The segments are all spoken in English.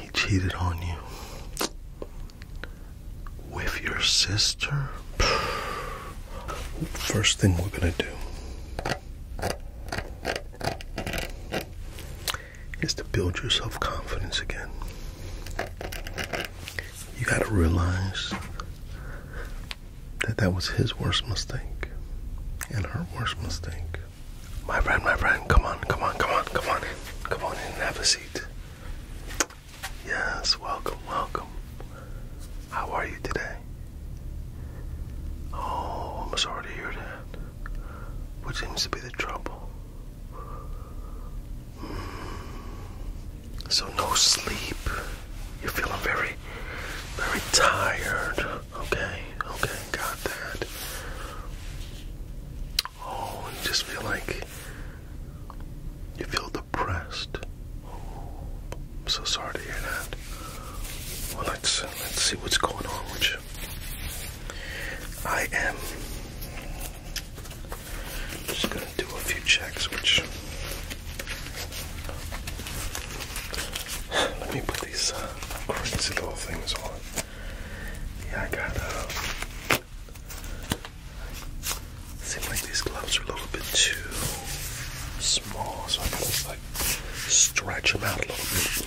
He cheated on you with your sister. First thing we're going to do is to build your self confidence again. You got to realize that that was his worst mistake and her worst mistake. My friend, my friend, come on, come on, come on, come on Come on in have a seat. Yes, welcome, welcome. How are you today? Oh, I'm sorry to hear that. What seems to be the trouble? Hmm. So no sleep. You're feeling very, very tired. Okay, okay, got that. Oh, and just feel like you feel depressed. I'm so sorry to hear that. Well, let's uh, let's see what's going on with you. I am just gonna do a few checks, which let me put these uh, crazy little things on. Yeah, I got. Uh, like these gloves are a little bit too small, so I gotta like stretch them out a little bit.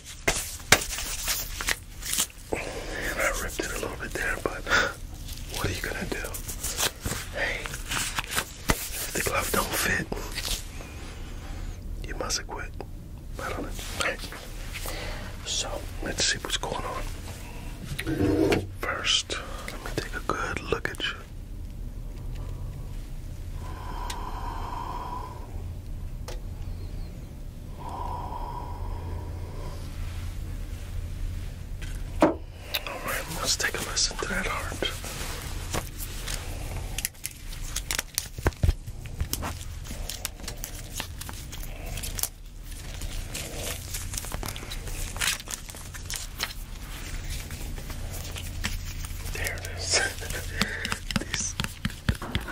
And I ripped it a little bit there, but what are you gonna do? Hey, if the glove don't fit, you must have quit. I don't So let's see what's going on. First, let me take a good look at you let's take a listen to that heart. There it is.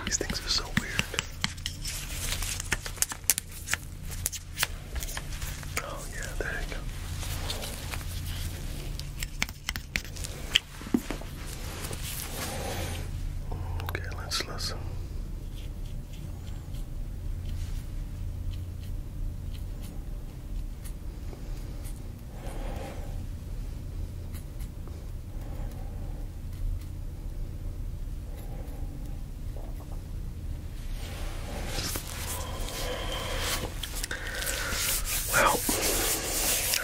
these, things are so weird. Oh, yeah, there you go. Okay, let's listen. Well,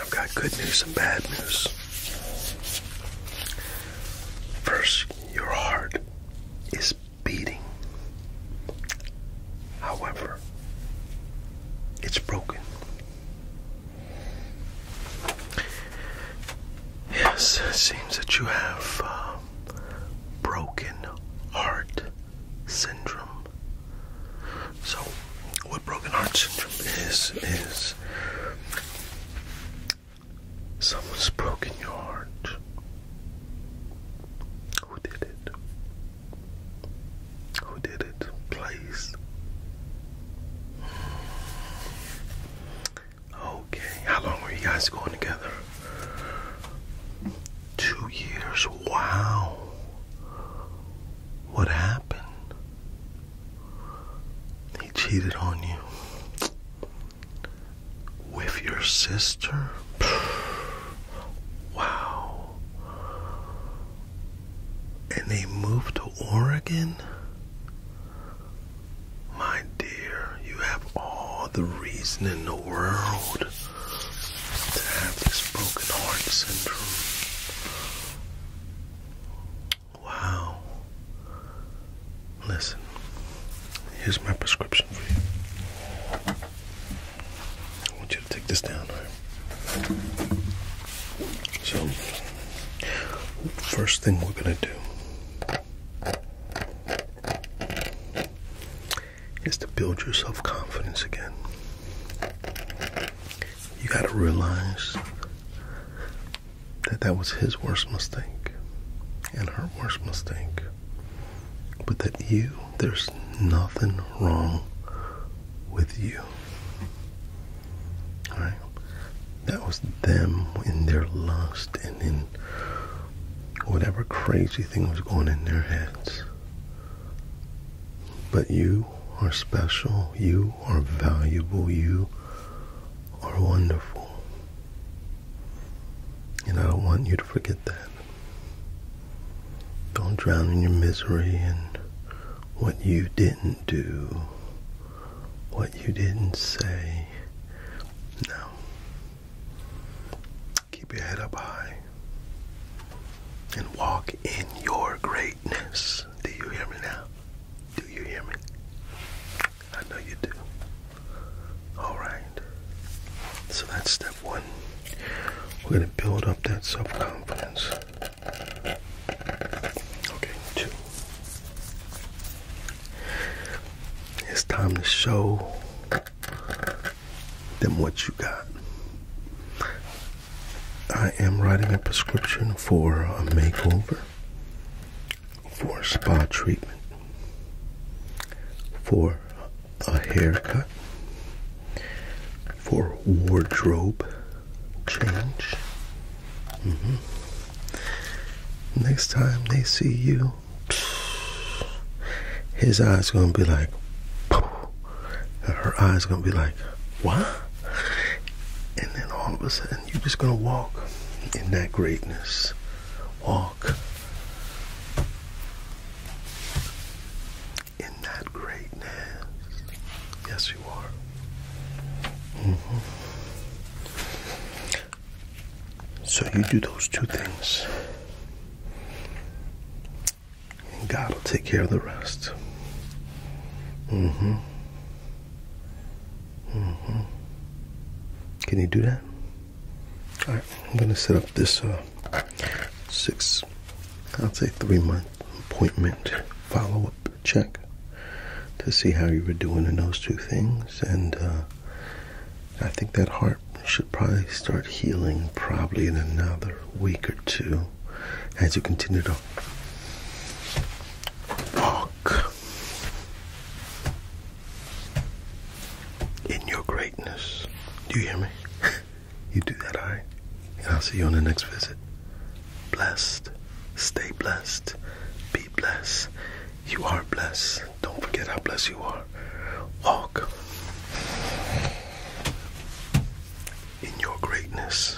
I've got good news and bad news. First, your heart is beating However, it's broken. Yes, it seems that you have um, broken heart syndrome. So, what broken heart syndrome is is someone's broken your heart who did it? Who did it? Please. Okay, how long were you guys going together? Two years. Wow. What happened? He cheated on you. With your sister? wow. And they moved to Oregon? My dear, you have all the reason in the world to have this broken heart syndrome. Wow. Listen, here's my prescription for you. I want you to take this down, So, first thing we're gonna do is to build your self confidence again. You gotta realize that that was his worst mistake and her worst mistake, but that you, there's nothing wrong with you. All right? That was them in their lust and in whatever crazy thing was going in their heads. But you are special. You are valuable. You are wonderful. And I don't want you to forget that. Don't drown in your misery and what you didn't do, what you didn't say. No. Keep your head up high and walk in your greatness. Do you hear me now? Do you hear me? I know you do. Alright. So that's step one. We're going to build up that self confidence. Okay, two. It's time to show them what you got. I am writing a prescription for a makeover for spa treatment, for a haircut, for wardrobe change. Mm-hmm. Next time they see you, his eyes gonna be like, her eyes gonna be like, what? and then all of a sudden you're just gonna walk in that greatness walk in that greatness yes you are mm-hmm. so you do those two things and god will take care of the rest mm-hmm Mm-hmm. Can you do that? i right, I'm gonna set up this uh, six, I'll say three month appointment follow up check to see how you were doing in those two things, and uh, I think that heart should probably start healing probably in another week or two as you continue to walk in your greatness. Do you hear me? you do that, alright? And I'll see you on the next visit. Blessed. Stay blessed. Be blessed. You are blessed. Don't forget how blessed you are. Walk in your greatness.